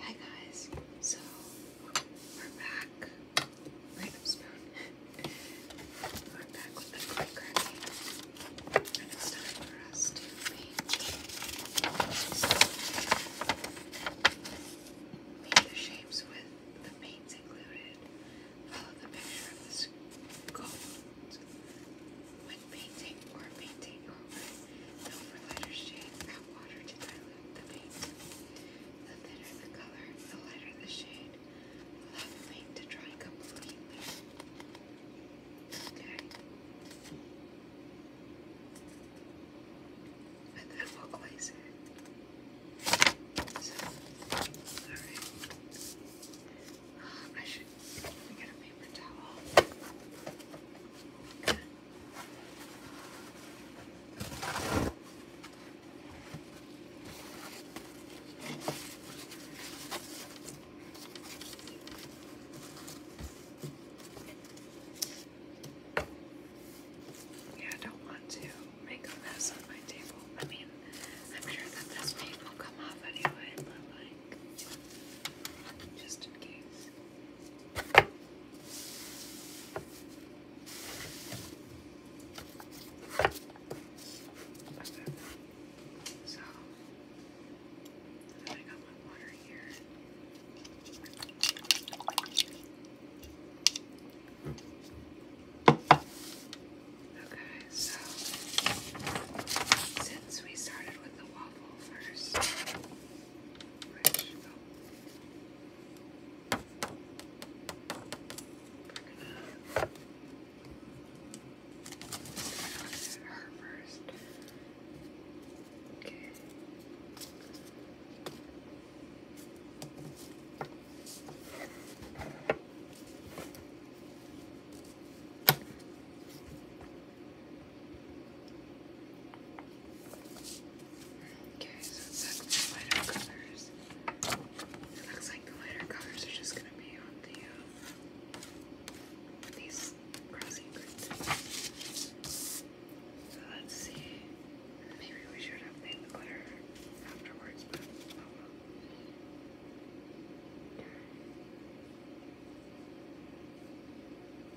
Hi guys, so we're back. Random spoon. we're back with the clay cracking. time for us to paint. the shapes with the paints included. Follow the picture of the scope Painting or painting over the overlighter shade, add water to dilute the paint. The thinner the color, the lighter the shade. Allow paint to dry completely. Okay. And then will glaze it. So, uh, I should, yeah, I don't want to make a mess on my table. I mean, I'm sure that this paint will come off anyway, but like, just in case. That's it. So, I got my water here. Okay, so since we started with the water, waffle first. her first. Okay. Okay, so it said lighter colors. It looks like the lighter colors are just gonna be on the uh, these crossing grids. So let's see. Maybe we should have made the glitter afterwards, oh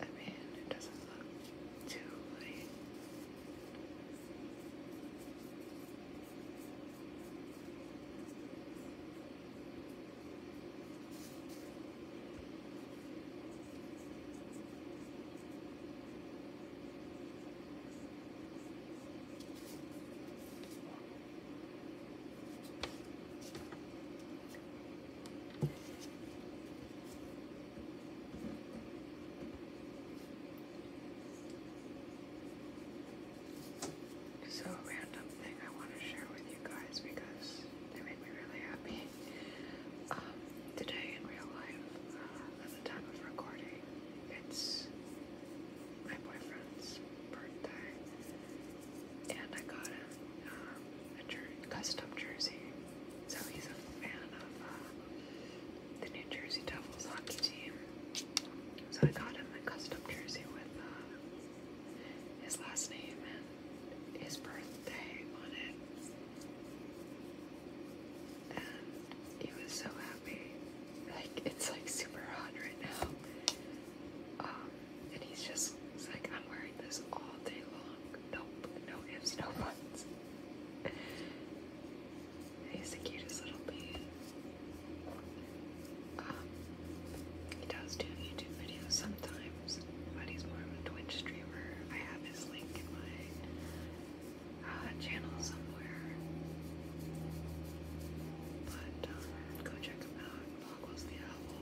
I mean, it doesn't look too late. So random thing I want to share with you guys because they made me really happy. Um, today in real life, uh, at the time of recording, it's my boyfriend's birthday, and I got him um, a custom jersey. So he's a fan of uh, the New Jersey Devils hockey team. So I got him a custom jersey with uh, his last name his birthday on it, and he was so happy. Like it's like super hot right now, um, and he's just like, I'm wearing this all day long. Nope, no ifs, no buts. He's the cutest little bee. Um, he does do YouTube videos sometimes but he's more of a Twitch streamer. I have his link in my uh, channel somewhere. But um, go check him out. Boggles the owl.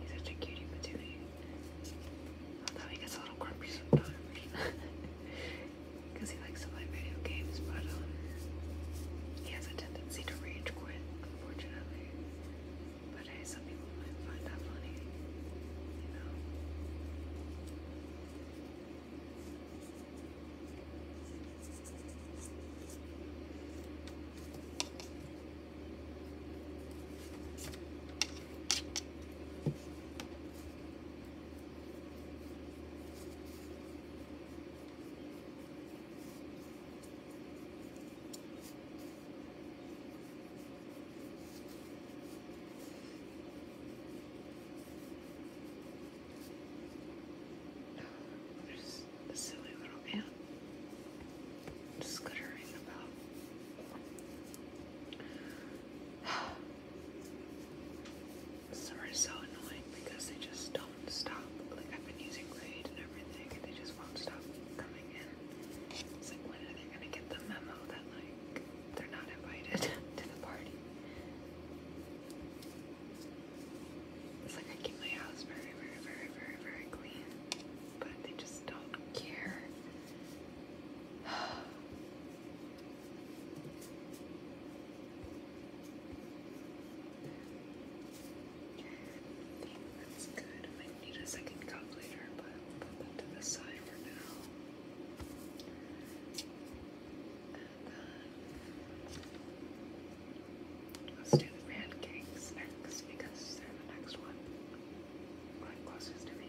He's such a cutie patootie. Although he gets a little grumpy sometimes. Because he likes to play video games, but um, he has a tendency to rage quit, unfortunately. But hey, some people might find that funny, you know. There's a silly little ant scuttering about. Some are so annoying because they just don't stop. Like I've been using Raid and everything, they just won't stop coming in. It's like when are they gonna get the memo that like they're not invited to the party? It's like I keep my house very, very, very, very, very clean, but they just don't care. think that's good. might need a second cup later, but put that to the side for now. Uh, let's do the pancakes next because they're the next one. One closest to me.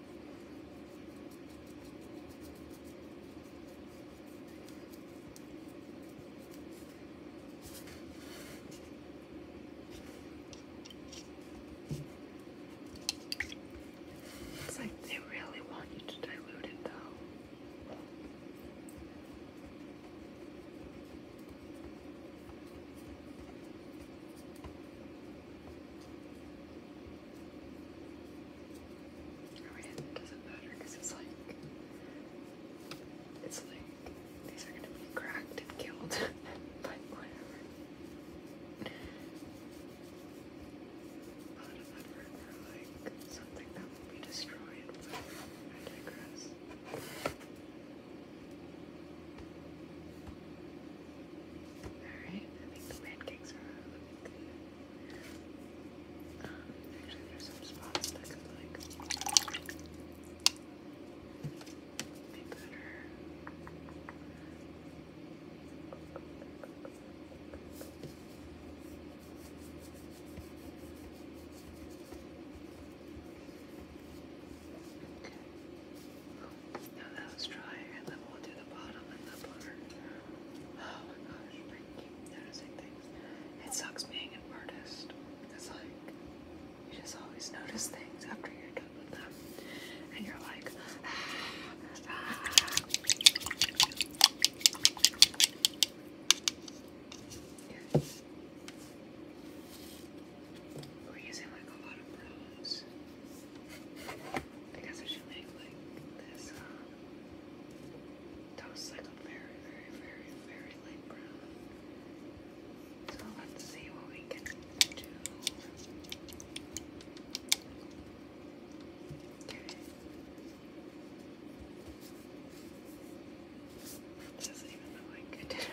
It's like they really want you to dilute it though it doesn't matter because it's like, it's like these are gonna be cracked and killed, but whatever. A lot of effort like something that will be destroyed, I digress. Alright, I think the pancakes are looking um, actually, there's some spots that could, like, be better. Okay. Now that was drier, and then we'll do the bottom and the butter. Oh my gosh, I keep noticing things. It sucks being an artist. cause like you just always notice things after you're done with them, and you're like, ah, ah. We're using like a lot of browns. I guess I should make like this uh, toast like a very, very, very, very light brown. So let's see what we can do. Okay. doesn't even look like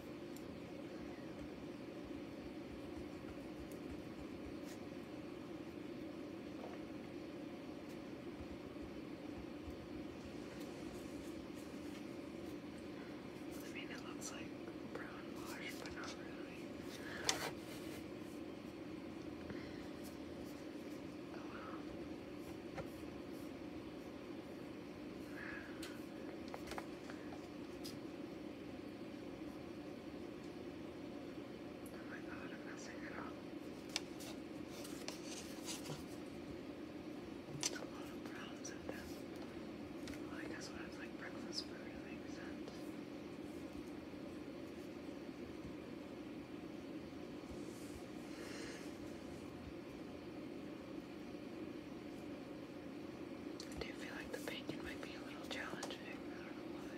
I mean, it looks like brown wash, but not really. Oh wow. Oh my god, I'm messing it up. A lot of browns in this. Well, I guess it's like breakfast food, it makes sense. I you feel like the bacon might be a little challenging. I don't know why.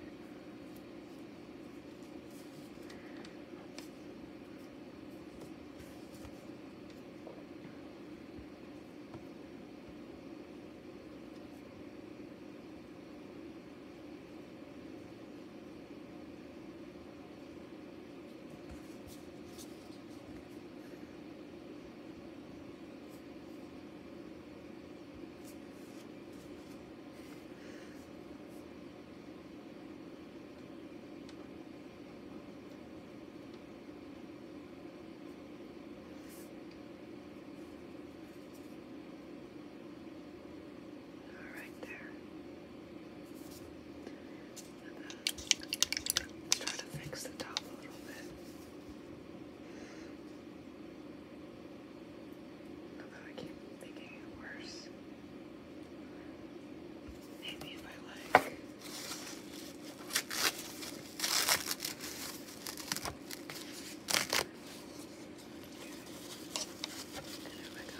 All right there. And then let's try to fix the top a little bit. Although I keep making it worse. Maybe if I like. There we go.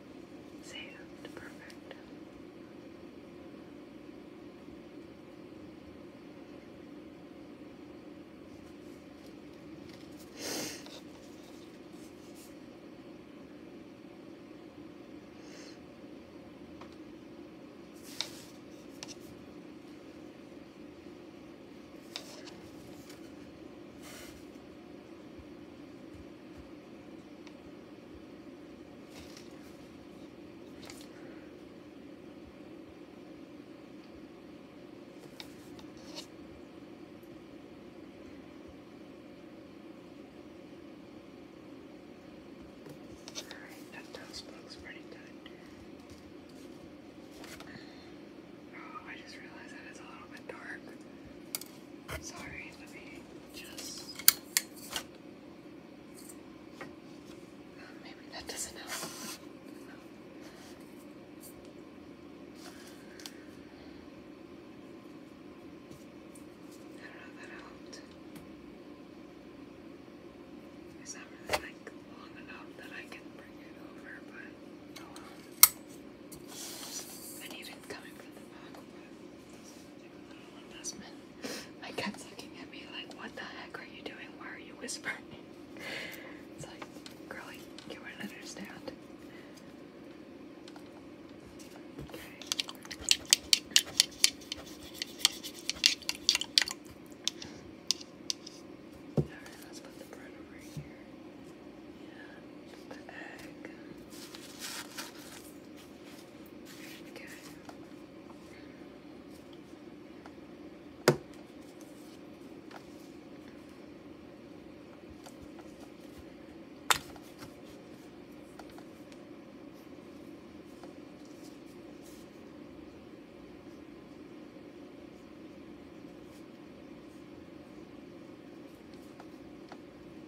Say Saved. Perfect. Alright, that toast looks pretty good. Oh, I just realized that it's a little bit dark. Sorry, let Yes. Maybe that doesn't help. I don't know if that helped. It's not really like long enough that I can bring it over, but oh well. coming from the bottom, my cat's looking at me like, what the heck are you doing? Why are you whispering? It's like, girlie, you wouldn't understand. Alright, let's put the bread over here and the egg. Okay.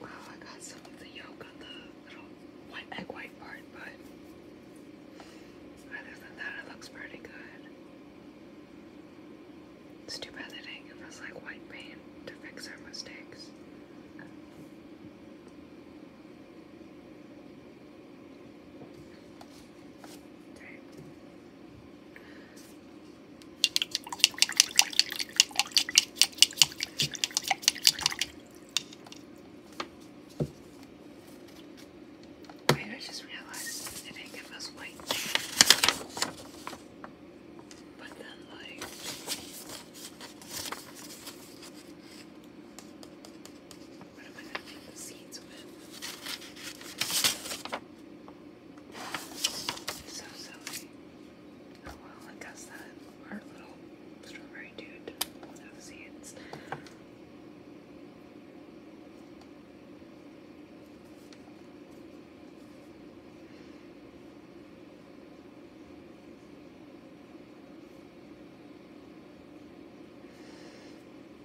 Wow, I got some of the yolk on the little white egg white part, but other than that, it looks pretty good. It's too bad they didn't like white paint to fix our mistakes. Okay. Wait, I just realized it did us white. But then, like. What am I gonna make the seeds with? So silly. Oh, well, I guess that our little strawberry dude will have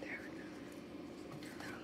There we go. Now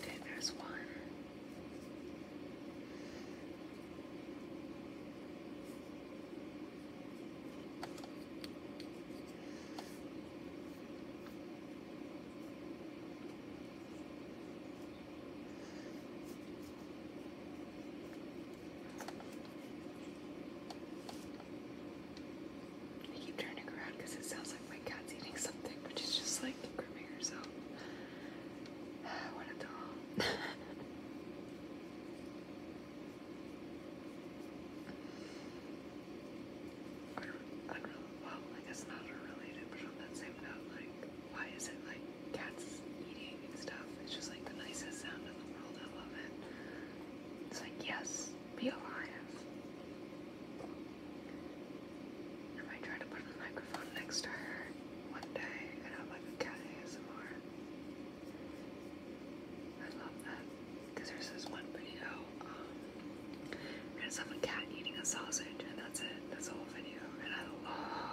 Okay, there's one. I keep turning around because it sounds like my cat's eating something, which is just like grooming herself. what a doll. I don't, well, I guess not related, but on that same note, like, why is it like cats eating and stuff? It's just like the nicest sound in the world. I love it. It's like, yes, be alive. I might try to put a microphone next to her one day and have like a cat ASMR. I love that. Because there's this one video um, and it's of a cat eating a sausage, and that's it. That's the whole video, and I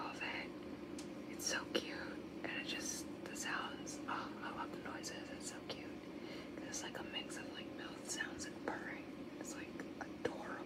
love it. It's so cute, and it just the sounds. Oh, I love the noises. It's so cute. It's like a mix of like mouth sounds and purring. It's like adorable.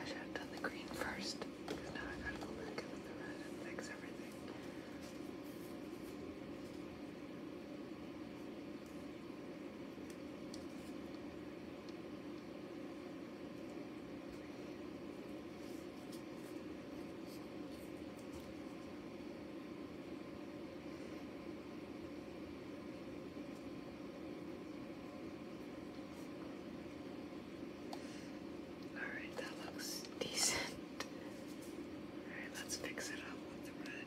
I should have done the green first, now I gotta go back in with the red and fix everything. Alright, that looks decent. Alright, let's fix it up with the red.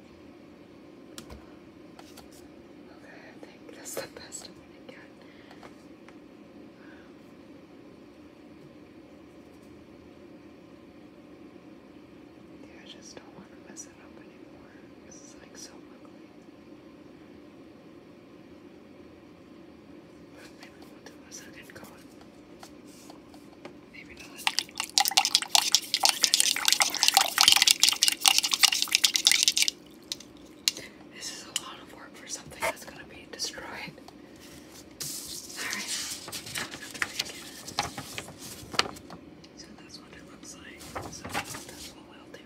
Okay, I think that's the best I'm gonna get. yeah, I just don't want to mess it up anymore. This is like so ugly. But maybe we'll do a second coat. Maybe not. This is a lot of work for something that's gonna be destroyed. Alright, So that's what it looks like. So that's what we'll do.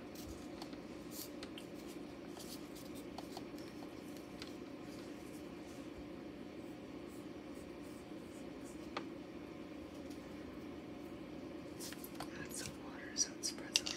Add some water so it spreads a little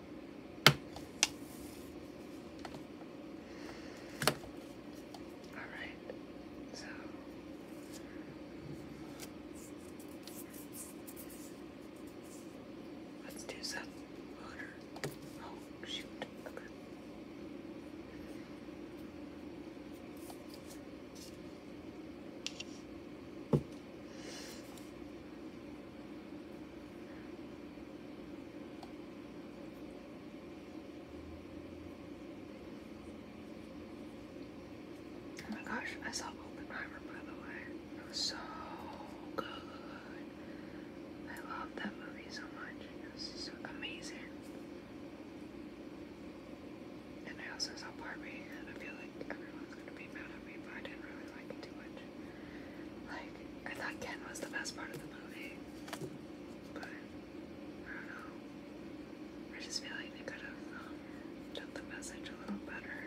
Alright, so let's do some water. Oh, shoot. Okay. Oh my gosh, I saw Oppenheimer by the way. It was so good. I love that movie so much. It was so amazing. And I also saw Barbie, and I feel like everyone's gonna be mad at me, but I didn't really like it too much. Like, I thought Ken was the best part of the movie. But, I don't know. I just feel like they could have um, done the message a little better.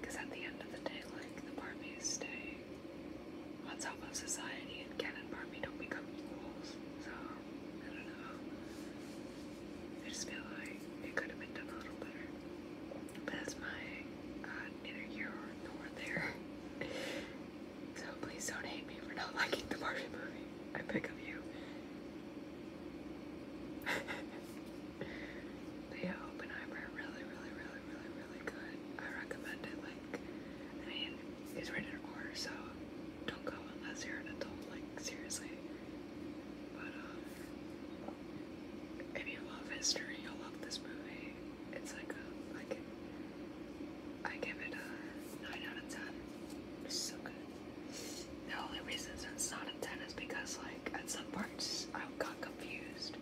Because at the end of the day, like, the Barbies stay on top of society, and Ken and Barbie don't become equals. So, I don't know. I just feel like it could have been done a little better. But that's my uh, neither here nor there. So please don't hate me for not liking the Barbie movie. I pick up you. but yeah, Open Eyebrow, really, really, really, really, really good. I recommend it. Like, I mean, it's rated R, so don't go unless you're an adult. Like, seriously. But um, if you love history, you'll love this movie. It's like a like I give it a nine out of ten. It's so good. The only reason it's not a ten is because like at some parts I got confused,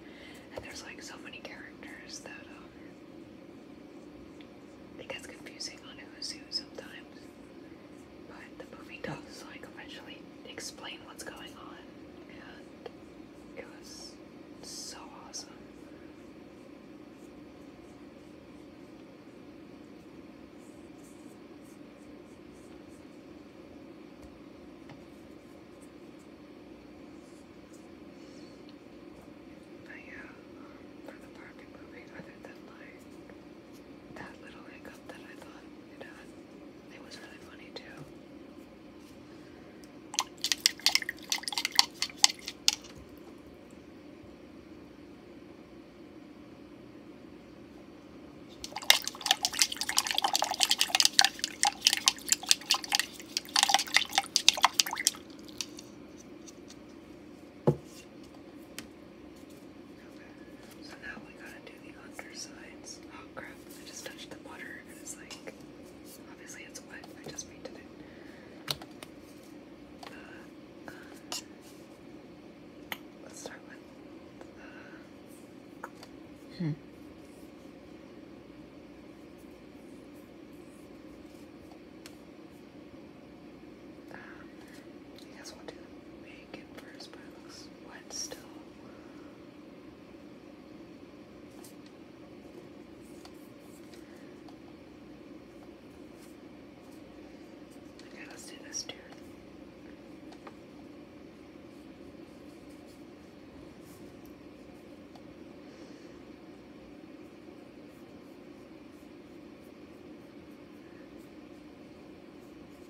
and there's like so many characters that um, it gets confusing on who's who sometimes. But the movie does like eventually explain what's going on, and it was so awesome. But yeah, for the parking movie, other than like that little hiccup that I thought it had. It was really funny too. So now we gotta do the undersides. Oh crap, I just touched the water and it's like, obviously it's wet, I just painted it. Uh, uh, let's start with, uh, hmm. Um, I guess we but it looks wet still. Okay, let's do this too.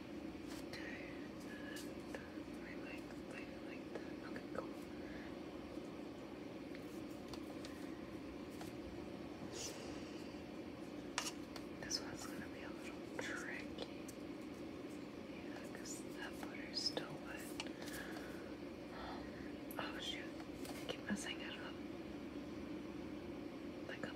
I like, This one's gonna be a little tricky. Yeah, that butter's still wet. Um, oh shoot. keep messing it up. Like a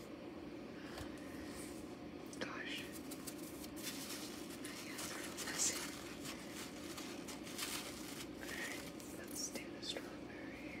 Gosh. My hands are messy. let's do the strawberry.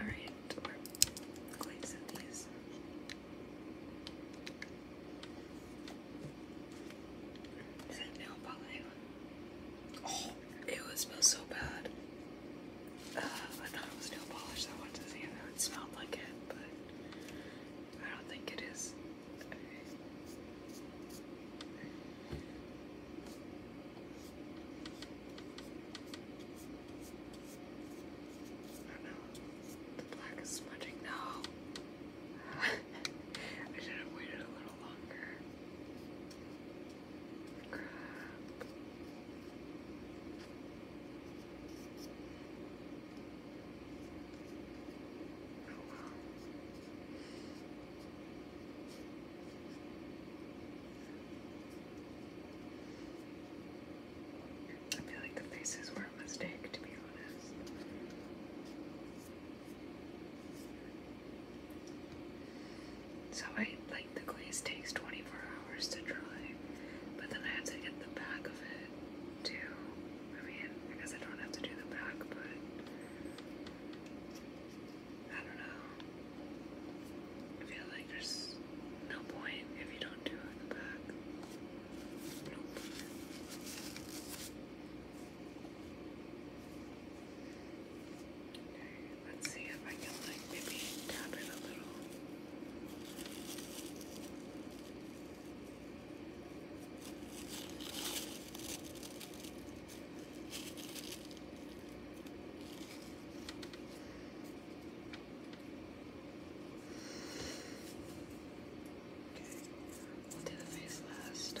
Alright, we're going these. Is it nail polish? Oh, it was smells so bad. Uh, I thought it was nail polish, so I wanted to see if it smelled like it, but I don't think it is. Oh no, the black is smudging. No! I should have waited a little longer. Crap. Oh I feel like the faces were a mistake, to be honest. So I like the glaze takes 24 hours to dry, but then I have to get the back of it too. I mean, I guess I don't have to do the back, but I don't know. I feel like there's no point if you don't do it in the back. let's see if I can like maybe tap it a little. We'll do the face last.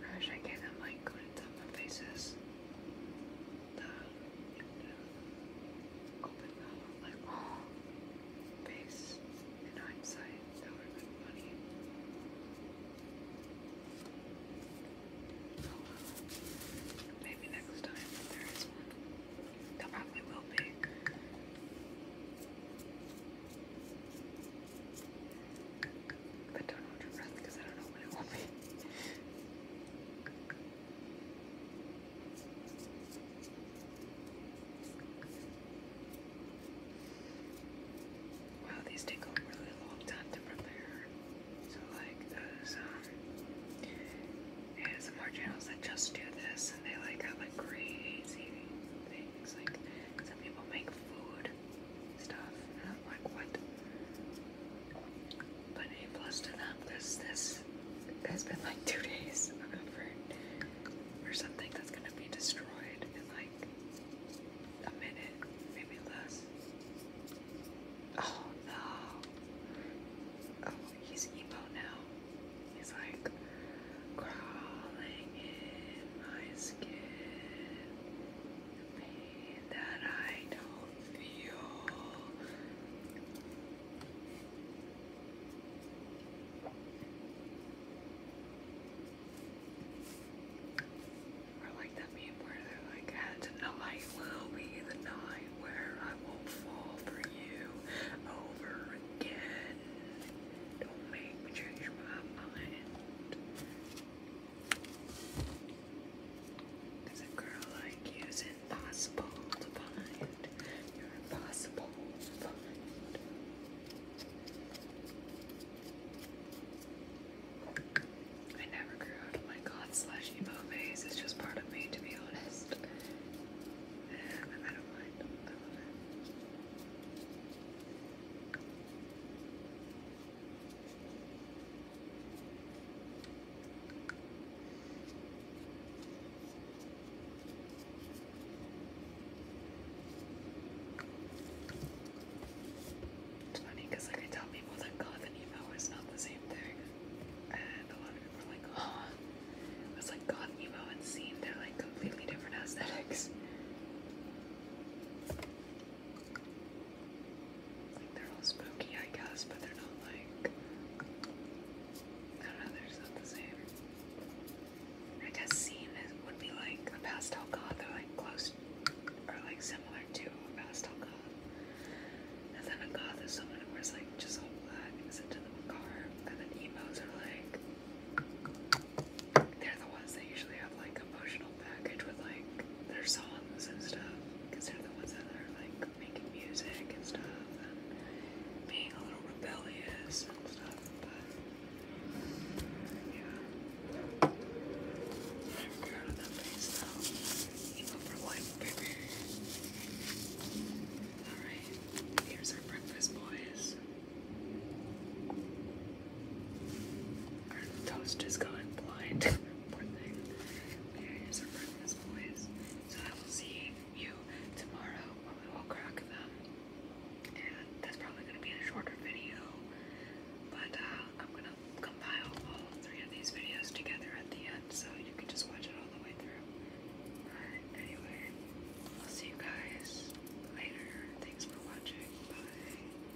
I wish I gave them like good in my faces the open mouth, like, in hindsight, that would have been funny. maybe next time there is one. There probably will be. But don't hold your breath because I don't know what it will be. Wow, these take a really long time to prepare. So, like those um, ASMR channels that just do this, and they like have like crazy things. Like some people make food stuff. And i like, what? But A plus to them because this has been like two days of something that's gonna be destroyed in like a minute, maybe less. Oh no. Oh, he's emo now. He's like crawling in my skin that I don't feel. Or like that meme where they're like, and tonight will be the night where I won't fall for you over again. Don't make me change my mind. Because a girl like you is impossible to find. You're impossible to find. I never grew out of my god slash emo phase. It's just part of me, to be honest. And I don't mind. I love it. It's funny like I tell people that goth emo is not the same thing, and a lot of people are like, "Oh, it's like goth, emo, and scene. They're like completely different aesthetics." Like they're all spooky, I guess, but they're not like. I don't know, they're not the same. I guess scene is, would be like a pastel god. They're like close or like similar to a pastel god. And then a goth is someone who wears like just all black and is into the macabre. And then emos are like. They're the ones that usually have like emotional Package with like their songs and stuff because they're the ones that are like making music and stuff and being a little rebellious and stuff. But yeah, I'm of that face though. Even for life, baby. All right, here's our breakfast, boys toast is gone blind. Poor thing. There is our breakfast, boys. So I will see you tomorrow when we will crack them. And that's probably going to be a shorter video. But uh, I'm going to compile all three of these videos together at the end so you can just watch it all the way through. But anyway, I'll see you guys later. Thanks for watching. Bye.